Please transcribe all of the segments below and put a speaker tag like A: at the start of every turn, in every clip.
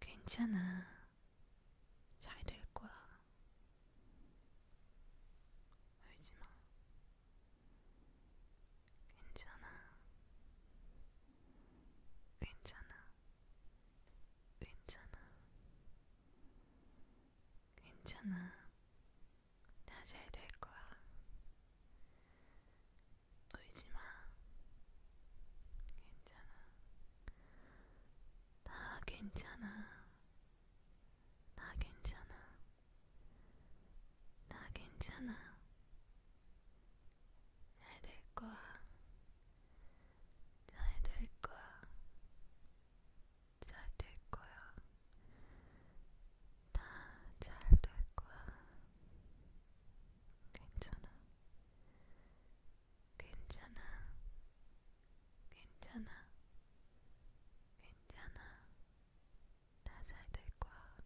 A: 괜찮아. 잘 될 거야. 울지 마. 괜찮아. 괜찮아. 괜찮아. 괜찮아. 다 잘 될 거야. 울지마. 괜찮아. 다 괜찮아. 다 괜찮아. 다 괜찮아. 잘 될 거야. 잘 될 거야. 잘 될 거야. 다 잘 될 거야. 괜찮아. 괜찮아. 괜찮아. 괜찮아. 나잘될 거야.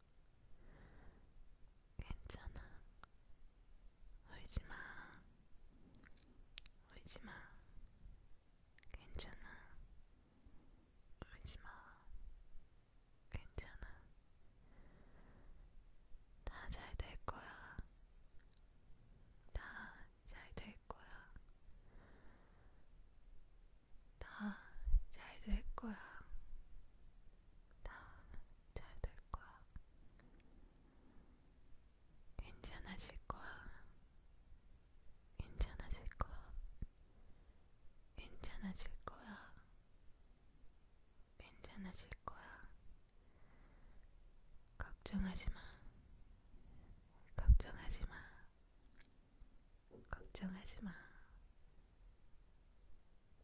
A: 괜찮아. 울지 마. 울지 마. 괜찮아. 울지 마. 괜찮아. 다 잘 될 거야. 다 잘 될 거야. 다 잘 될 거야. 다 잘 될 거야. 괜찮아질 거야. 괜찮아질 거야. 괜찮아질 거야. 괜찮아질 거야. 걱정하지 마. 걱정하지 마. 걱정하지 마.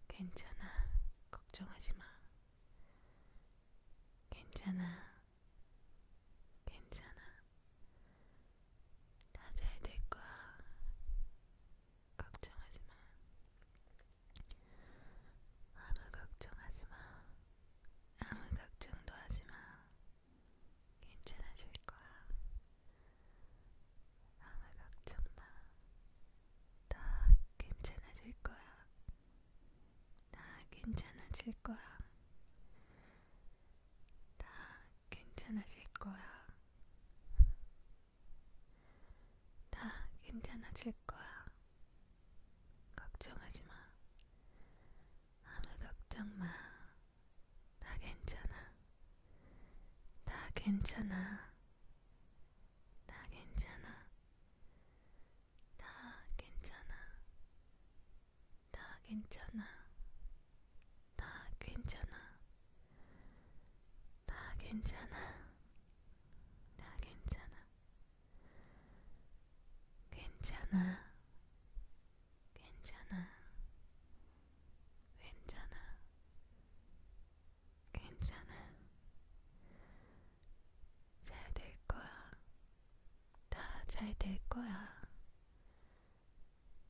A: 괜찮아. 걱정하지 마. 괜찮아. 괜찮아. 다 잘 될 거야. 걱정하지 마. 아무 걱정하지 마. 아무 걱정도 하지 마. 괜찮아질 거야. 아무 걱정 마. 다 괜찮아질 거야. 다 괜찮아질 거야. 다 괜찮아질 거야. 다 괜찮아질 거야. 걱정하지 마. 아무 걱정 마. 다 괜찮아. 다 괜찮아. 다 괜찮아. 다 괜찮아. 다 괜찮아. 다 괜찮아. 다 괜찮아. 다 괜찮아. 괜찮아. 괜찮아. 괜찮아. 괜찮아. 잘 될 거야. 다 잘 될 거야.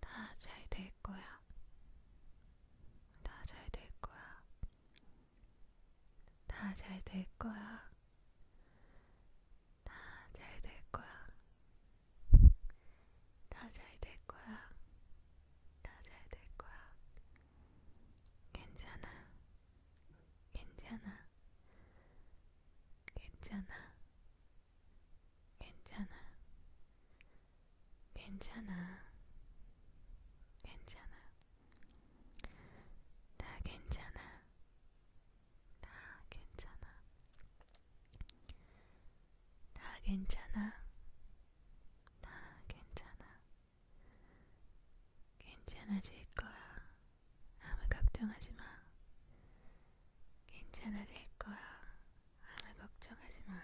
A: 다 잘 될 거야. 거야. 다잘 될 거야. 다 잘 될 거야. 다 잘 될 거야. 다 잘 될 거야. 다 잘 될 거야. 괜찮아. 괜찮아. 괜찮아. 괜찮아. 괜찮아. 괜찮아. 다 괜찮아. 다 괜찮아. 다 괜찮아. 다 괜찮아. 괜찮아질 거야. 아무 걱정하지 마. 괜찮아질 거야. 아무 걱정하지 마.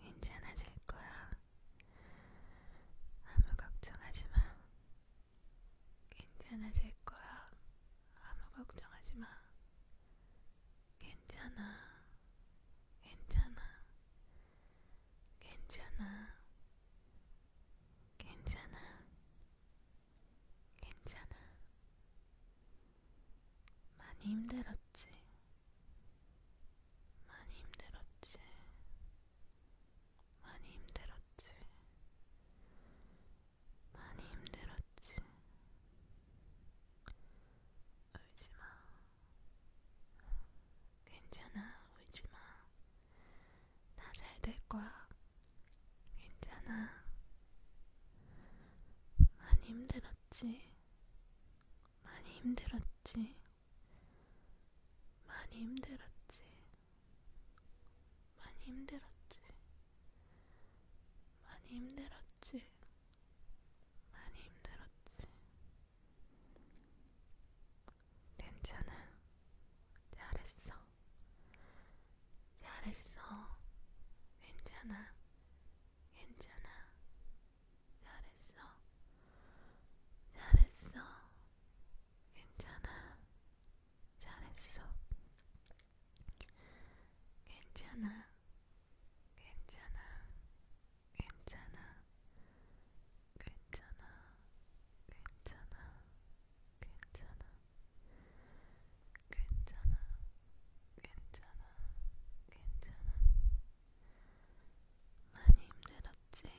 A: 괜찮아질 거야. 아무 걱정하지 마. 괜찮아질 거야. 아무 걱정하지 마. 괜찮아. 괜찮아. 괜찮아. 괜찮아. 괜찮아. 많이 힘들었지. 많이 힘들었지. 많이 힘들었지. 많이 힘들었지. 울지 마. 괜찮아, 울지 마. 다잘될 거야. 괜찮아. 많이 힘들었지. 많이 힘들었지. 많이 힘들었지. 많이 힘들었지. 많이 힘들었지. 많이 힘들었지. 괜찮아. 잘했어. 잘했어. 괜찮아. 괜찮아. 잘했어. 잘했어. 괜찮아. 잘했어. 괜찮아. 괜찮아. 괜찮아. 괜찮아. 괜찮아. 괜찮아. 괜찮아. 괜찮아, 괜찮아. 많이 힘들었지?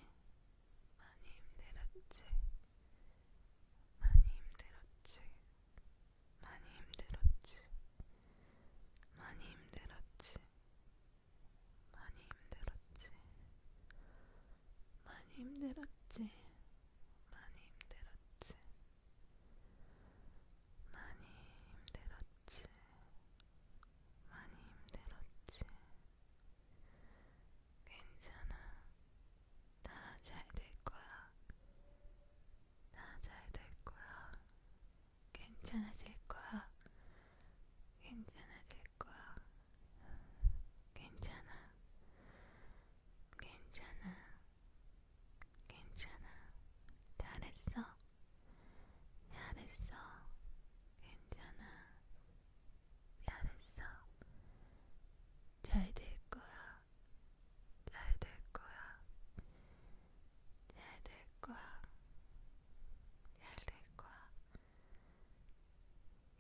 A: 많이 힘들었지? 많이 힘들었지? 많이 힘들었지? 많이 힘들었지? 많이 힘들었지? 많이 힘들었지? 많이 힘들었지? 많이 힘들었지. 많이 힘들었지. 괜찮아. 다 잘 될 거야. 다 잘 될 거야. 괜찮아질 거야. 괜찮아질 거야. 괜찮아. 괜찮아. 괜찮아. 잘했어. 잘했어. 괜찮아. 잘했어. 잘될 거야. 잘 될 거야. 잘 될 거야. 잘 될 거야.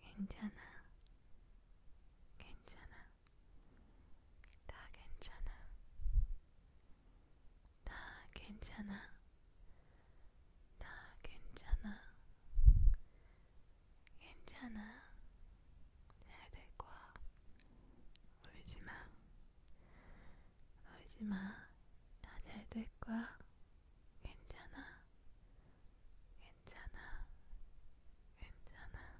A: 괜찮아. 괜찮아. 다 괜찮아. 다 괜찮아. 다 괜찮아. 괜찮아. 잘 될 거야. 울지 마. 울지 마. 다 잘 될 거야. 괜찮아. 괜찮아. 괜찮아.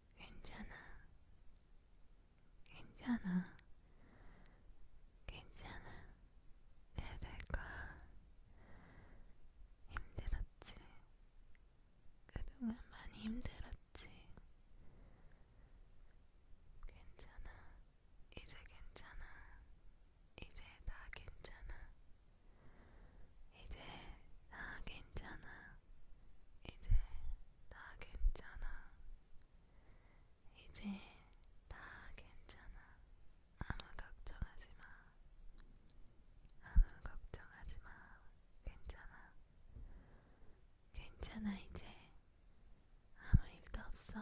A: 괜찮아. 괜찮아. 괜찮아. 애들과 힘들었지. 그동안 많이 힘들었지. 괜찮아. 이제 괜찮아. 이제 다 괜찮아. 이제 다 괜찮아. 이제 다 괜찮아. 이제 다 괜찮아. 아무 걱정하지 마. 아무 걱정하지 마. 괜찮아. 괜찮아, 이제. 아무 일도 없어.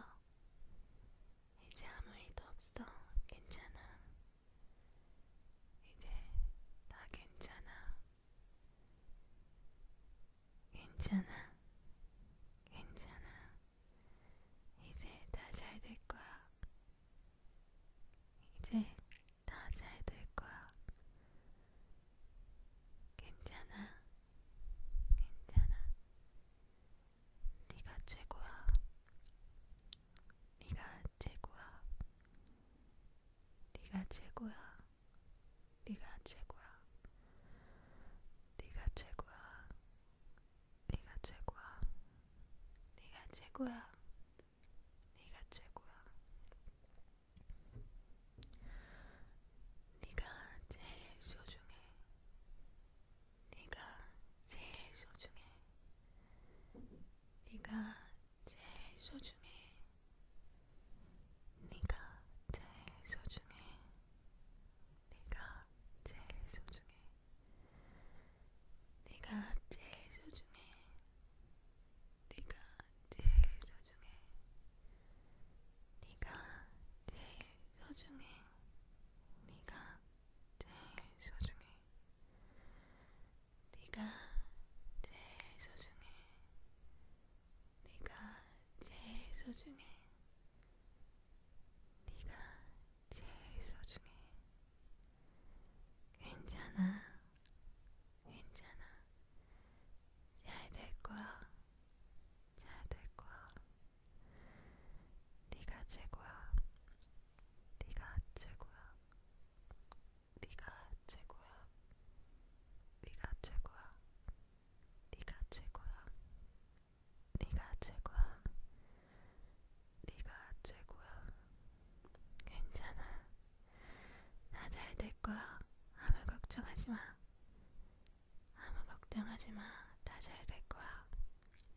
A: 이제 아무 일도 없어. 괜찮아. 이제 다 괜찮아. 괜찮아. 괜찮아. 이제 다 잘 될 거야. 이제 다 잘 될 거야. 괜찮아. 괜찮아. 네가 최고야. 네가 최고야. 네가 최고야. 네가 최고야. 네가 최고야. 네가 최고야. 네가 최고야. 네가 최고야. 네가 제일 소중해. 네가 제일 소중해. 네가 제일 소중해. 네가 제일 소중해. 네가 제일 소중해. 네가 제일 소중해. 네가 제일 소중해. 네가 제일 소중해. 네가 제일 소중해. 네가 제일 소중해. 네가 제일 소중해. 네가 제일 소중해. 괜찮아. 괜찮아. 잘 될 거야. 잘 될 거야. 네가 최고야. 네가 최고야. 네가 최고야. 네가 최고야. 네가 최고야. 네가 최고야. 네가 최고야. 괜찮아. 나잘될 거야. 아무 걱정하지 마. 아무 걱정하지 마. 다 잘 될 거야.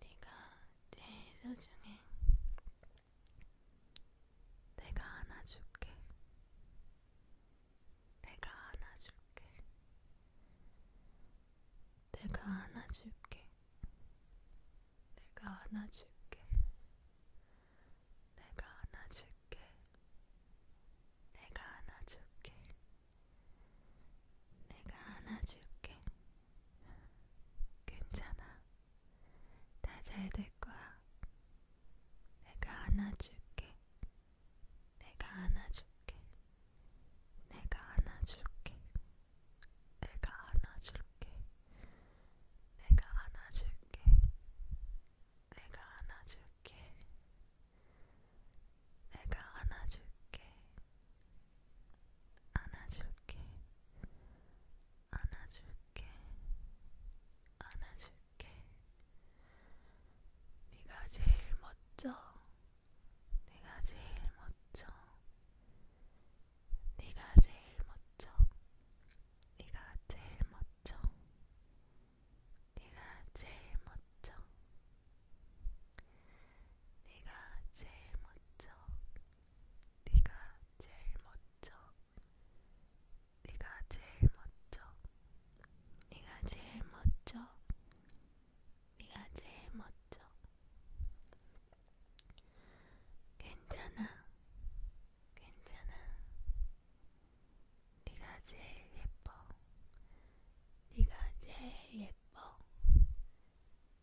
A: 네가 제일 소중해. 내가 안아줄게. 내가 안아줄게. 내가 안아줄게. 내가 안아줄게. 내가 안아줄게. 내가 안아줄게. 내가 안아줄게. 내가 안아줄게. 괜찮아. 다잘될 거야. 내가 안아줄게. 내가 안아줄게. 내가 안아줄게. 내가 안아줄게. 내가 안아줄게. 내가 안아줄게. 내가 안아줄게. 안아줄게, 안아줄게, 안아줄게. 네가 제일 멋져, 네가 제일 멋져, 네가 제일 멋져, 네가 제일 멋져, 네가 제일 멋져. 네가 제일 멋져. 네가 제일 멋져. 네가 제일 멋져. 네가 제일 멋져. 네가 제일 멋져. 네가 제일 멋져. 네가 제일 멋져. 괜찮아. 괜찮아. 네가 제일 예뻐. 네가 제일 예뻐.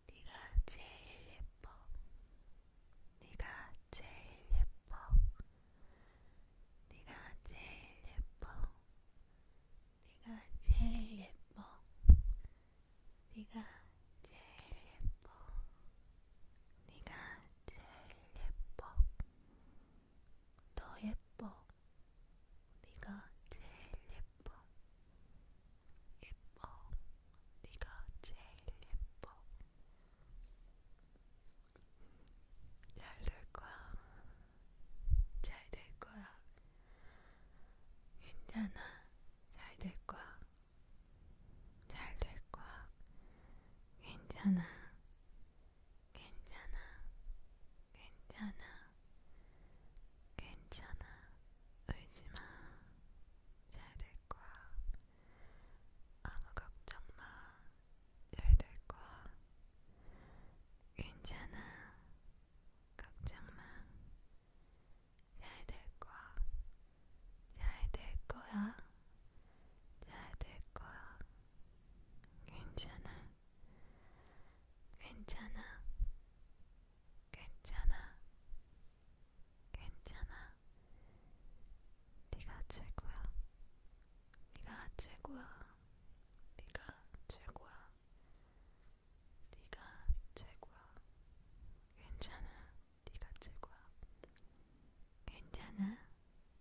A: 네가 제일 예뻐. 네가 제일 예뻐. 네가 제일 예뻐. 네가 제일 예뻐. 네가 제일 예뻐. 네가 제일 예뻐. 너 예뻐. 네가 제일 예뻐. 예뻐. 네가 제일 예뻐. 잘 될 거야. 잘 될 거야. 괜찮아. 잘 될 거야. 잘 될 거야. 괜찮아. 괜찮아. 괜찮아. 괜찮아. 울지마. 잘 될 거야. 아무 걱정 마. 잘 될 거야. 괜찮아. 걱정 마. 잘 될 거야. 잘 될 거야. 잘 될 거야. 괜찮아. 괜찮아. 괜찮아. 괜찮아. 네가 최고야. 네가 최고야. 네가 최고야. 네가 최고야. 괜찮아. 네가 최고야. 괜찮아.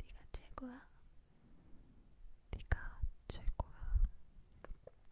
A: 네가 최고야. 네가 최고야.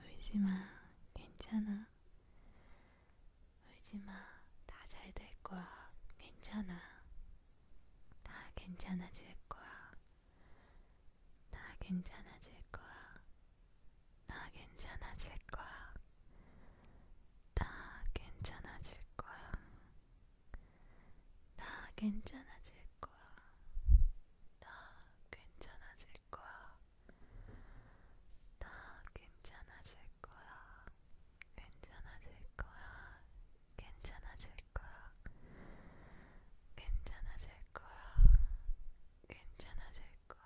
A: 울지마, 괜찮아. 울지마, 다 잘 될 거야. 괜찮아. 다 괜찮아질 거야. 다 괜찮아질 거야. 다 괜찮아질 거야. 다 괜찮아질 거야. 다 괜찮아질 거야. 다 괜찮아질 거야. 다 괜찮아질 거야. 괜찮아질 거야. 괜찮아질 거야. 괜찮아질 거야. 괜찮아질 거야.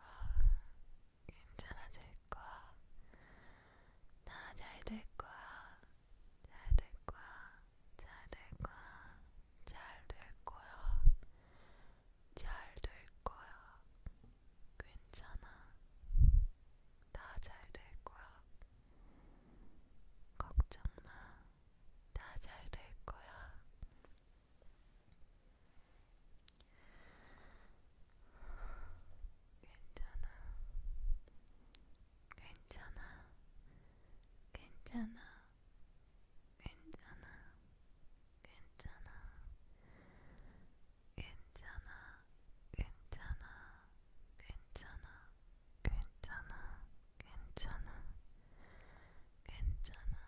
A: 괜찮아질 거야. 다잘될 거야. 잘 될 거야. 잘될 거야. 잘 될 거야. 잘 될 거야. 괜찮아. 다 잘 될 거야. 걱정 마. 다 잘 될 거야. 괜찮아. 괜찮아. 괜찮아. 괜찮아, 괜찮아, 괜찮아, 괜찮아, 괜찮아, 괜찮아, 괜찮아, 괜찮아, 괜찮아,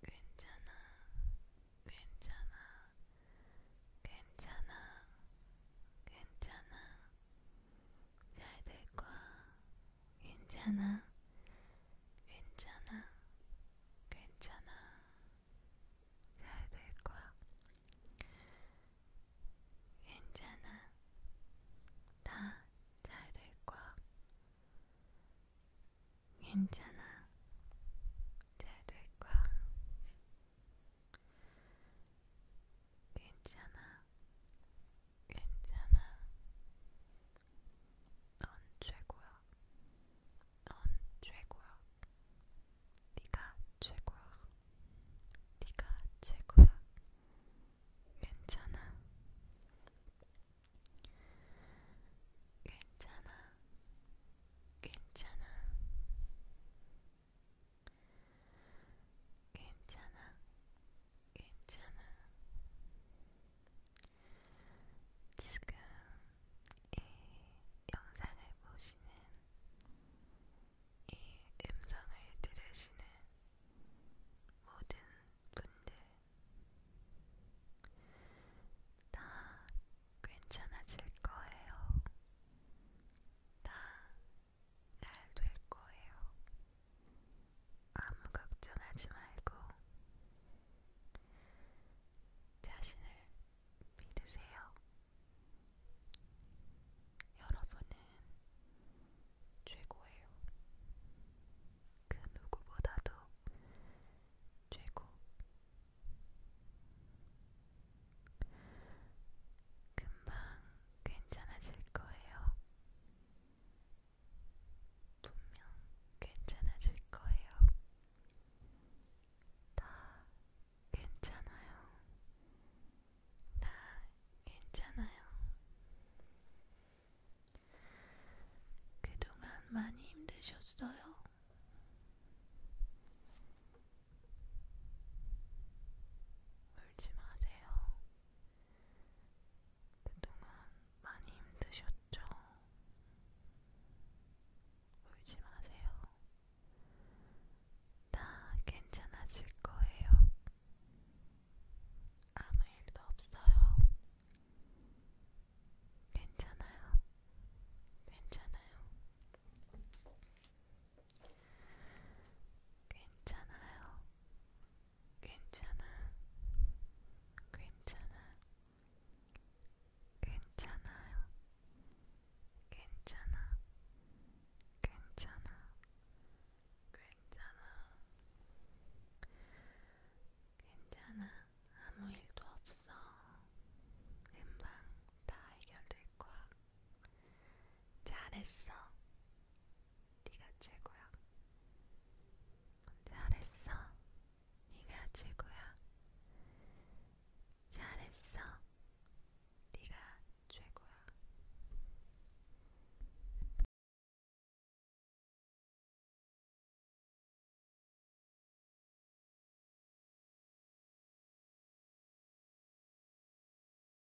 A: 괜찮아, 괜찮아, 괜찮아. 잘될 거야. 괜찮아. 괜찮아. 괜찮아. 잘 될 거야. 괜찮아. 다 잘 될 거야. 괜찮아. 잘 될 거야. 괜찮아. 괜찮아. 넌 최고야. 넌 최고야. 네가 최고야. 네가 최고야. 괜찮아. 괜찮아. 괜찮아. 괜찮아. 괜찮아. 지금 이 영상을 보시는, 이 음성을 들으시는 모든 분들 다 괜찮아질 거예요. 다 날될 거예요. 아무 걱정하지 말고 자신을 믿으세요. 여러분은 최고예요. 그 누구보다도 최고. 금방 괜찮아질 거예요. 분명 괜찮아질 거예요. 다 괜찮아요. 다 괜찮아요. 그동안 많이 힘드셨어요? 울지 마세요. 그동안 많이 힘드셨죠? 울지 마세요. 다 괜찮아질 거예요. 아무 일도 없어요. 괜찮아요. 괜찮아요. 괜찮아요. 괜찮아. 괜찮아. 괜찮아요. 괜찮아. 괜찮아. 괜찮아. 괜찮아. 아무 일도 없어. 금방 다 해결될 거야. 잘했어. 네가 최고야. 잘했어. 네가 최고야. 잘했어. 네가 최고야.